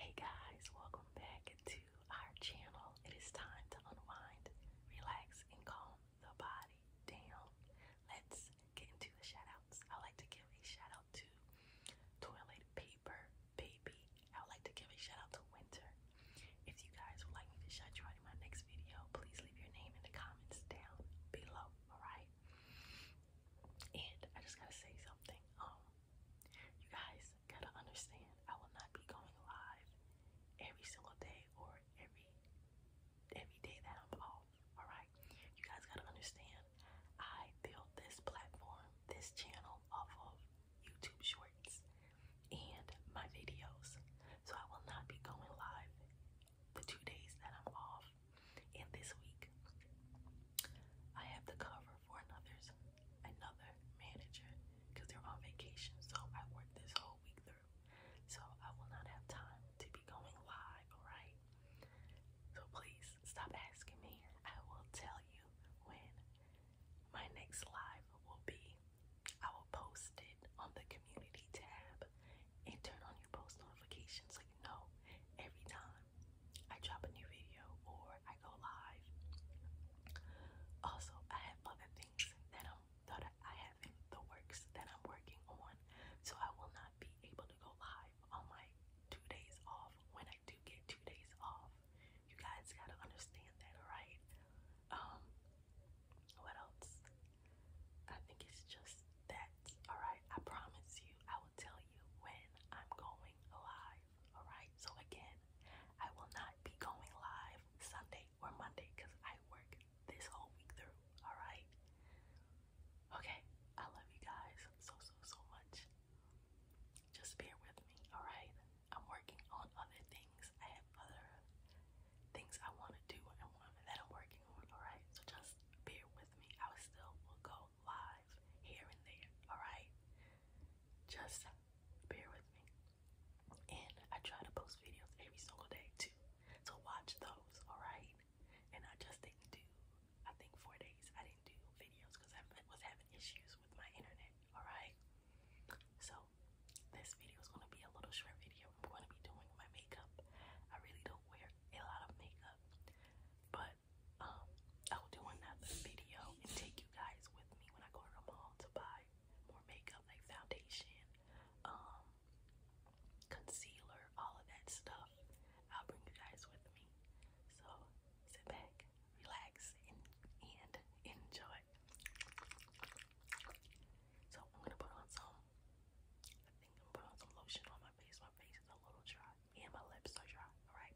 Hey guys, welcome back to our channel. It is time to unwind, relax, and calm the body down. Let's get into the shout outs. I like to give a shout to Toilet Paper Baby. I would like to give a shout out to Winter. If you guys would like me to shout you out in my next video, please leave your name in the comments down below, alright? And I just gotta say something. Um, you guys gotta understand, I will not be going live every single day or every every day that I'm off. Alright? You guys gotta understand, I built this platform, this channel off of YouTube Shorts and my videos. So I will not be going live the two days that I'm off. And this week, I have the cover for another's another manager because they're on vacation. So I work this whole week through. So I will not have time to be going live, alright? So please stop asking me. I will tell you when my next live will be. I will post it on the community tab and turn on your post notifications so you know every time time I drop a new video or I go live. Also, I have other things that I'm that I have the works that I'm working on, so I will not be able to go live on my two days off when I do get two days off. You guys gotta understand that, alright? Um, what else? I think it's just that, alright. I promise you, I will tell you when I'm going live, alright? So, again, I will not be going live Sunday or Monday because I work this whole week through, alright? Okay, I love you guys so, so, so much. Just bear with me, alright? I'm working on other things. I have other things I want to do and that I'm working on, alright? So just bear with me. I still will go live here and there, alright? Just bear with me. And I try to post videos every single day too. So watch those, alright? And I just didn't do, I think four days I didn't do videos because I was having issues with my internet, alright? So this video is going to be a little short video. I'm going to be doing my makeup. I really don't wear a lot of makeup. But um, I'll do another video and take you guys with me when I go to the mall to buy more makeup, like foundation, um, concealer, all of that stuff. I'll bring you guys with me. So sit back, relax, and, enjoy. So I'm gonna put on some I think I'm putting some lotion on my face. My face is a little dry. Me and my lips are dry, alright?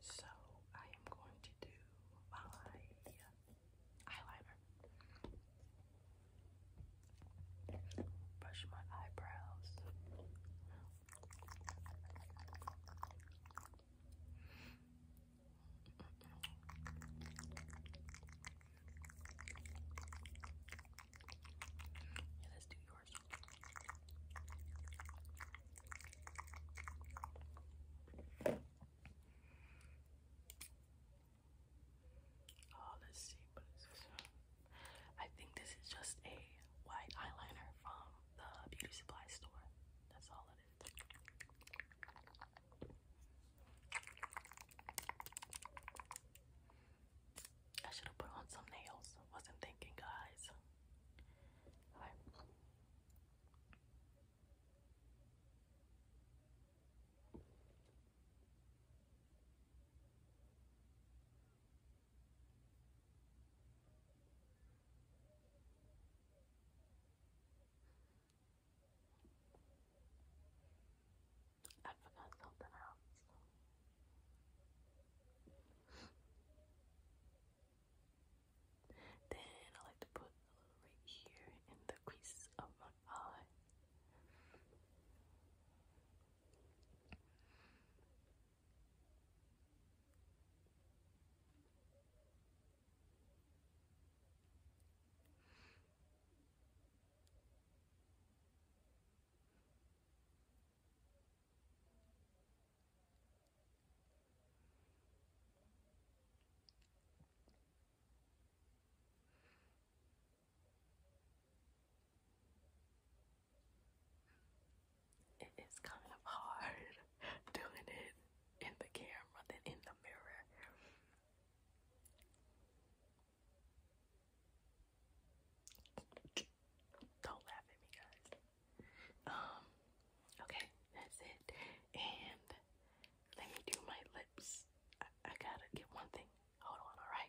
So I am going to do my eyeliner. Brush my eyebrows. let's do yours. Oh, let's see. But uh, I think this is just a white eyeliner from the beauty supply store. That's all it is. I should have put on some nails. wasn't thinking, guys. All right. I forgot something else. then I like to put right here in the crease of my eye. It is kind of hard doing it in the camera than in the mirror. Don't laugh at me, guys. Um, okay, that's it. And let me do my lips. I, gotta get one thing. Hold on, alright?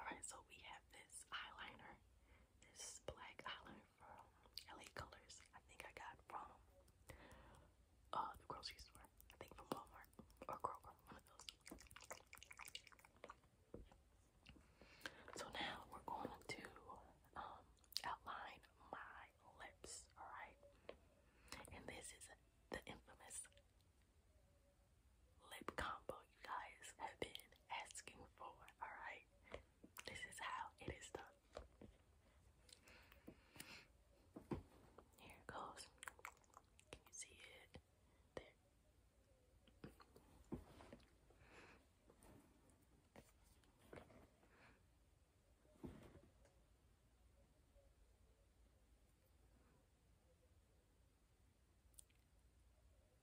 Alright, so we have this eyeliner. This black eyeliner from LA Colors. I think I got from uh the grocery store. I think from Walmart or Kroger, So now we're going to um outline my lips, alright? And this is the infamous lip combo you guys have been asking for, alright? This is how it is done. Here it goes. Can you see it? There.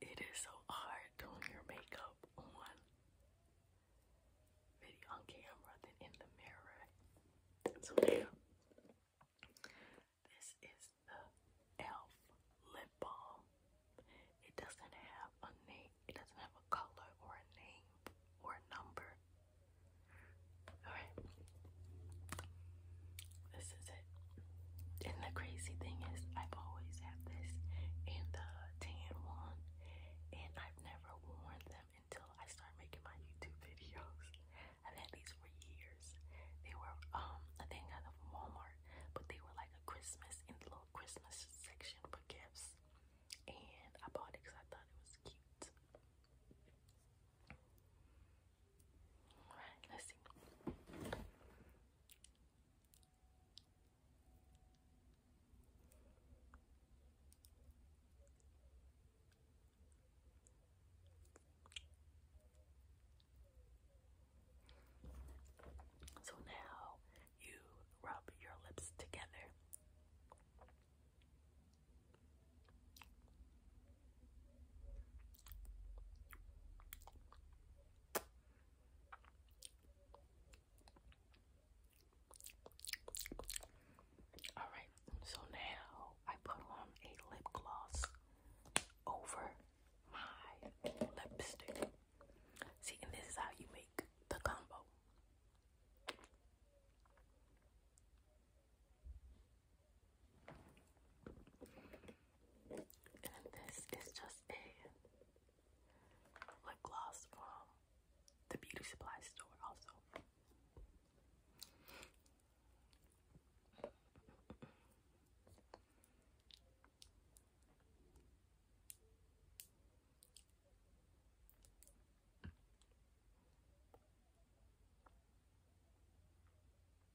It is so hard doing your makeup on video on camera than in the mirror. So now this is the elf lip balm. It doesn't have a name, it doesn't have a color or a name or a number. Alright. This is it. And the crazy thing is, I've always had this and the tan one, and I've never worn them until I started making my YouTube videos. I've had these for years. They were, um, I think out of Walmart, but they were like a Christmas in the little Christmas section for gifts. And I bought it because I thought it was cute. Alright, let's see. So now you rub your lips together. All right, so now I put on a lip gloss over my lipstick. See, and this is how you make the combo. And this is just a lip gloss from the beauty supply store also.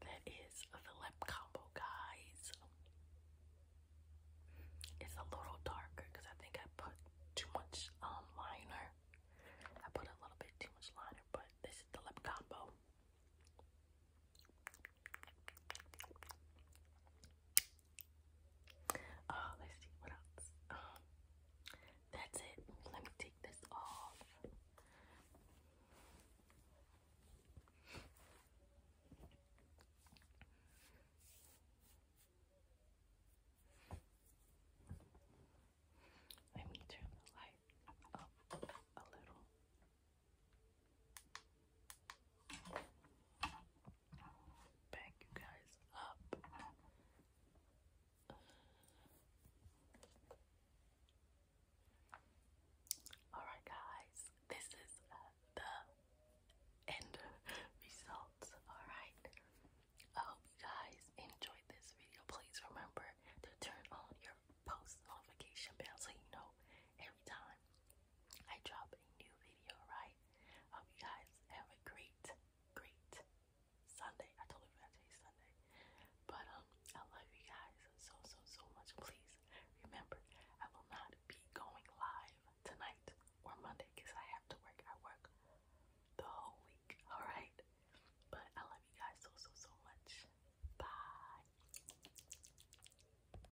That is the lip combo, guys. It's a little darker because I think I put too much um, liner. I put a little bit too much liner, but this is the lip combo. Uh, let's see what else. Um, that's it. Let me take this off. Let me turn the light up a little. Back you guys up. Alright, guys, this is uh, the end results. Alright, I hope you guys enjoyed this video. Please remember to turn on your post notification bell so you know every time I drop a new video, right? Hope you guys have a great, great Sunday. I totally forgot today's Sunday. But um I love you guys so so so much. Please remember I will not be going live tonight or Monday because I have to work. I work the whole week, alright? But I love you guys so so so much. Bye.